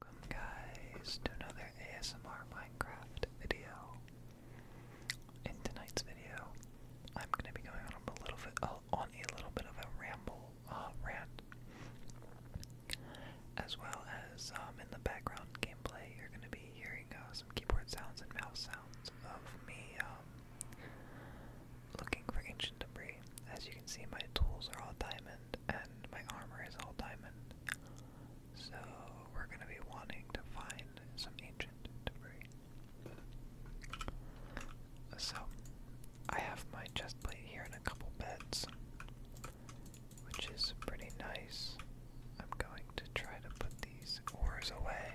Welcome guys to another ASMR Minecraft video. In tonight's video, I'm going to be going on a little bit oh, on a little bit of a ramble uh, rant, as well as um, in the background gameplay, you're going to be hearing uh, some keyboard sounds and mouse sounds of me um, looking for ancient debris. As you can see, my tools are all diamonds and my armor is all diamond. So we're gonna be wanting to find some ancient debris. So I have my chest plate here and a couple beds, which is pretty nice. I'm going to try to put these ores away,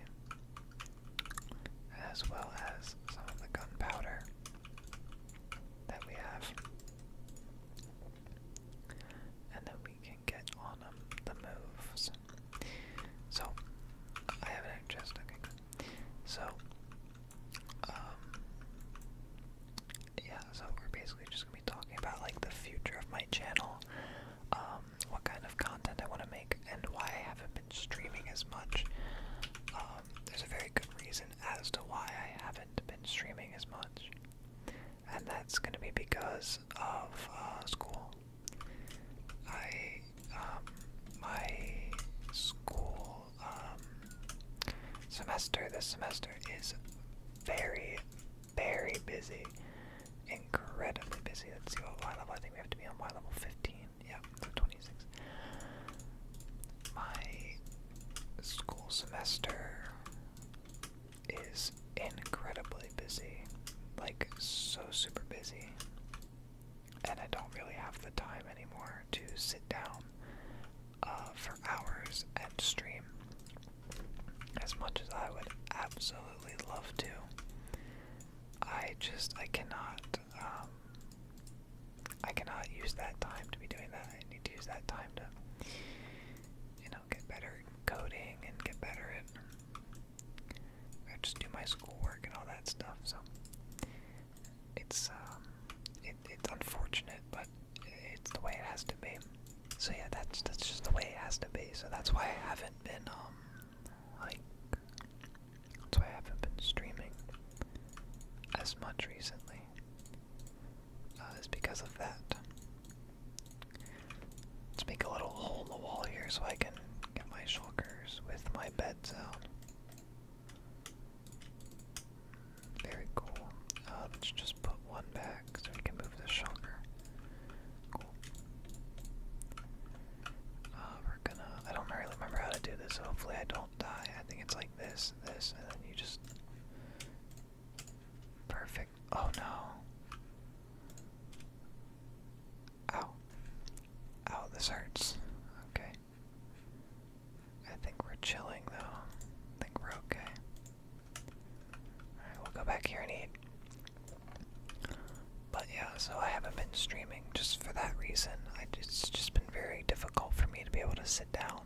as well as some of the gunpowder that we have and then we can get on um, the moves. So, I have an egg So, um, yeah, so we're basically just gonna be talking about, like, the future of my channel, um, what kind of content I want to make, and why I haven't been streaming as much. Um, there's a very good reason as to why I haven't been streaming as much. And that's going to be because of uh, school. I, um, my school um, semester this semester is very, very busy. Incredibly busy. Let's see what my level. I think we have to be on my level 15. Yeah, 26. My school semester is incredibly busy. Like, so super busy. And I don't really have the time anymore to sit down uh, for hours and stream as much as I would absolutely love to. I just, I cannot um, I cannot use that time to be doing that. I need to use that time to, you know, get better coding and get better at just do my schoolwork and all that stuff. So it's um, it's unfortunate, but it's the way it has to be. So yeah, that's that's just the way it has to be. So that's why I haven't been um, like that's why I haven't been streaming as much recently uh, is because of that. Let's make a little hole in the wall here so I can get my shulkers with my beds out. Very cool. Uh, let's just put one back so we can move the shulker. Uh, we're gonna. I don't really remember how to do this, hopefully I don't die. I think it's like this, this, and then you just perfect. Oh no! Ow! Ow! This hurts. Okay. I think we're chilling though. I think we're okay. Alright, we'll go back here and eat. But yeah, so I haven't been streaming just for that reason. it's just been very difficult for me to be able to down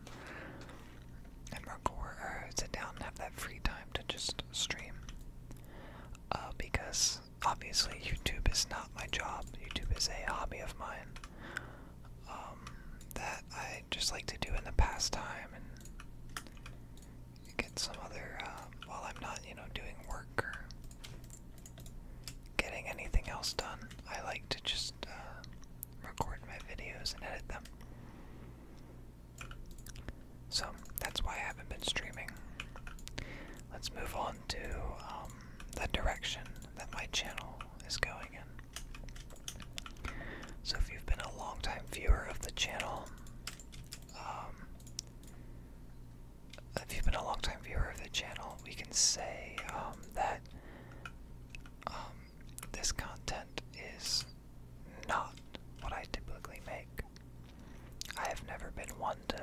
and record or uh, sit down and have that free time to just stream. Uh, because obviously YouTube is not my job. YouTube is a hobby of mine um, that I just like to do in the pastime and get some other uh, while I'm not, you know, doing work getting anything else done. I like to just uh, record my videos and edit them. So that's why I haven't been streaming. Let's move on to um, the direction that my channel is going in. So if you've been a long-time viewer of the channel, um, if you've been a long viewer of the channel, we can say um, that um, this content is not what I typically make. I have never been one to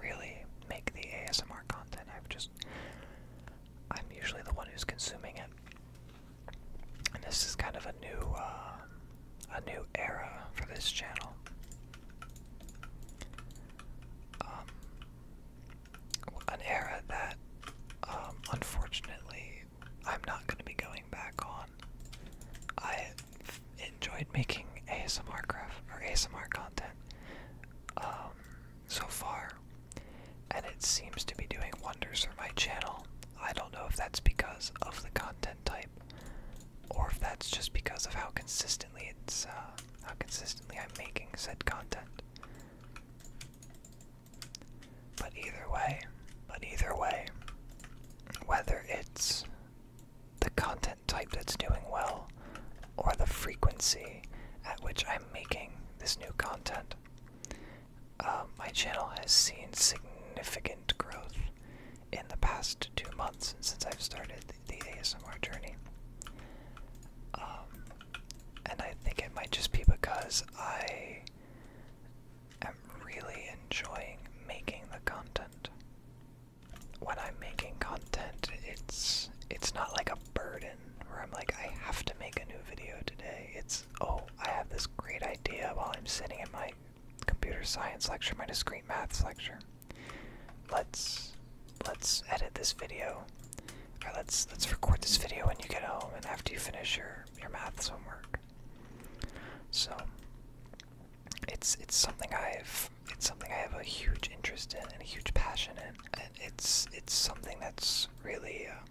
really make the ASMR content. I've just I'm usually the one who's consuming it. And this is kind of a new uh, a new era for this channel. Um, an era that um, unfortunately I'm not going to be going back on. I enjoyed making ASMR graph or ASMR content um, so far, and it seems to be doing wonders for my channel. I don't know if that's because of the content type, or if that's just because of how consistently it's uh, how consistently I'm making said content. But either way, but either way, whether it's the content type that's doing well or the frequency at which I'm making this new content, um, my channel has seen significant growth in the past two months since I've started the ASMR journey. Um, and I think it might just be because I am really enjoying making the content. When I'm making content, it's it's not like a burden where I'm like I have to make a new video today. It's oh, I have this great idea while I'm sitting in my computer science lecture, my discrete maths lecture. Let's let's edit this video. let's let's record this video when you get home and after you finish your your math homework. So it's it's something I've it's something I have a huge interest in and a huge passion in, and it's it's something that's really uh,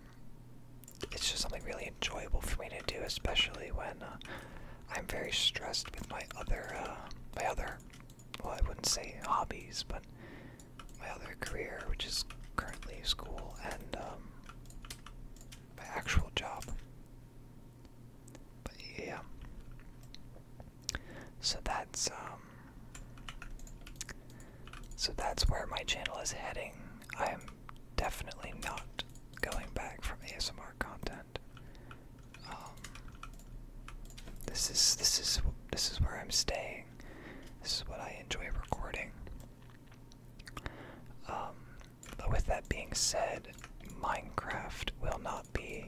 it's just something really enjoyable for me to do, especially when uh, I'm very stressed with my other uh, my other well, I wouldn't say hobbies, but my other career, which is currently school, and um, my actual job. But yeah. So that's um so that's where my channel is heading. I am definitely not going back from ASMR content. Um, this is this is this is where I'm staying. This is what I enjoy recording. Um, but with that being said, Minecraft will not be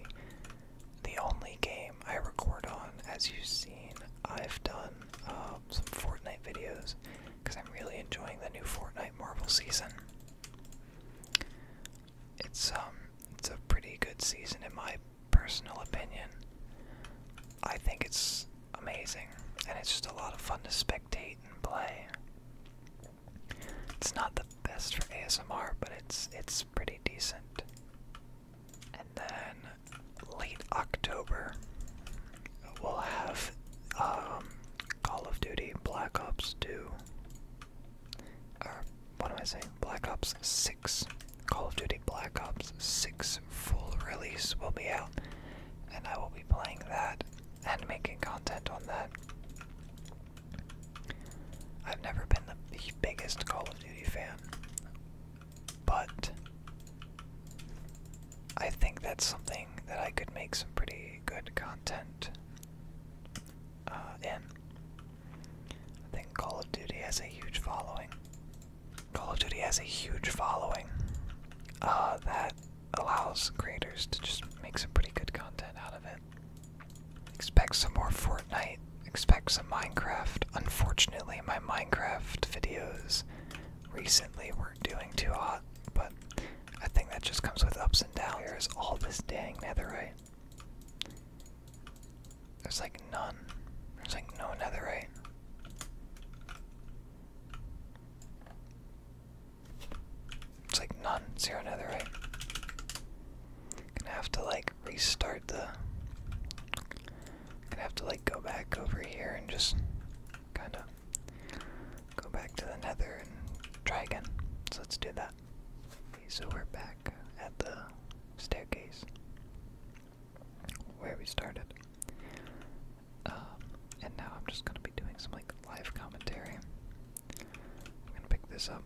the only game I record on. As you've seen, I've done um, some Fortnite videos because I'm really enjoying the new Fortnite Marvel season. It's um, it's a pretty good season in my personal opinion, I think it's amazing and it's just a lot of fun to spectate and play. It's not the best for ASMR, but it's it's pretty decent. And then late October we'll have um, Call of Duty Black Ops 2. Or what am I saying? Black Ops 6. Call of Duty Black Ops 6 full release will be out, and I will be playing that and making content on that. I've never been the biggest Call of Duty fan, but I think that's something that I could make some pretty good content uh, in. I think Call of Duty has a huge following. Call of Duty has a huge following uh, that allows creators to just make some pretty good content out of it. Expect some more Fortnite, expect some Minecraft. Unfortunately, my Minecraft videos recently weren't doing too hot, but I think that just comes with ups and downs. There's all this dang netherite. There's like none. There's like no netherite. It's like none, zero netherite. Gonna have to like restart the. Gonna have to like go back over here and just kind of go back to the nether and try again. So let's do that. Okay, so we're back at the staircase where we started. Um, and now I'm just gonna be doing some like live commentary. I'm gonna pick this up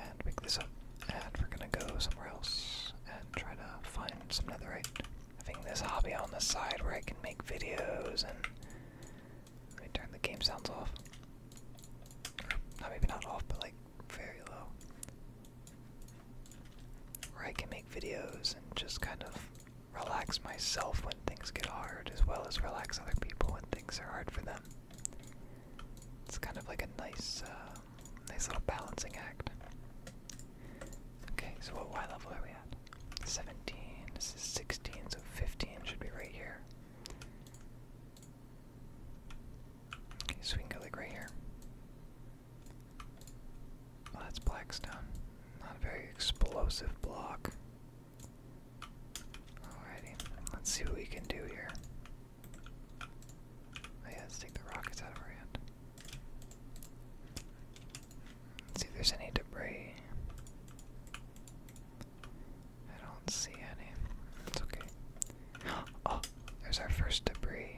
and pick this up, and we're gonna go somewhere else and try to find some other, netherite. Having this hobby on the side where I can make videos and let me turn the game sounds off. Or, maybe not off, but like very low. Where I can make videos and just kind of relax myself when things get hard, as well as relax other people when things are hard for them. It's kind of like a nice, uh, nice little balancing act. Okay, so what Y level are we at? 17. This is 16, so 15 should be right here so we can go like right here. Well, that's Blackstone. Not a very explosive block. Alrighty, let's see what we can do here. Oh, let's take the rockets out of our hand. Let's see if there's any debris. I don't see any. That's okay. Oh, there's our first debris.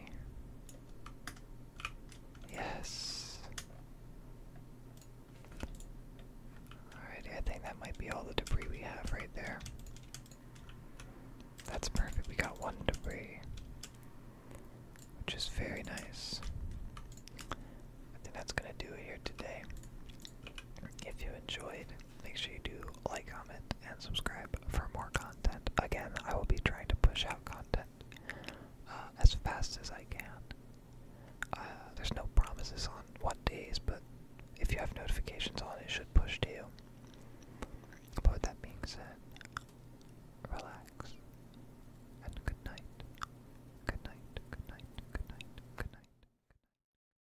Yes. Alrighty, I think that might be all the debris we have right there. That's perfect. We got one debris, which is very nice. I think that's gonna do it here today. If you enjoyed, make sure you do like, comment, and subscribe for more content. Again, I will be trying to push out content uh, as fast as I can. Uh, there's no promises on what days, but if you have notifications on, it should push to you. But with that being said, relax and good night. Good night, good night, good night, good night. Good night.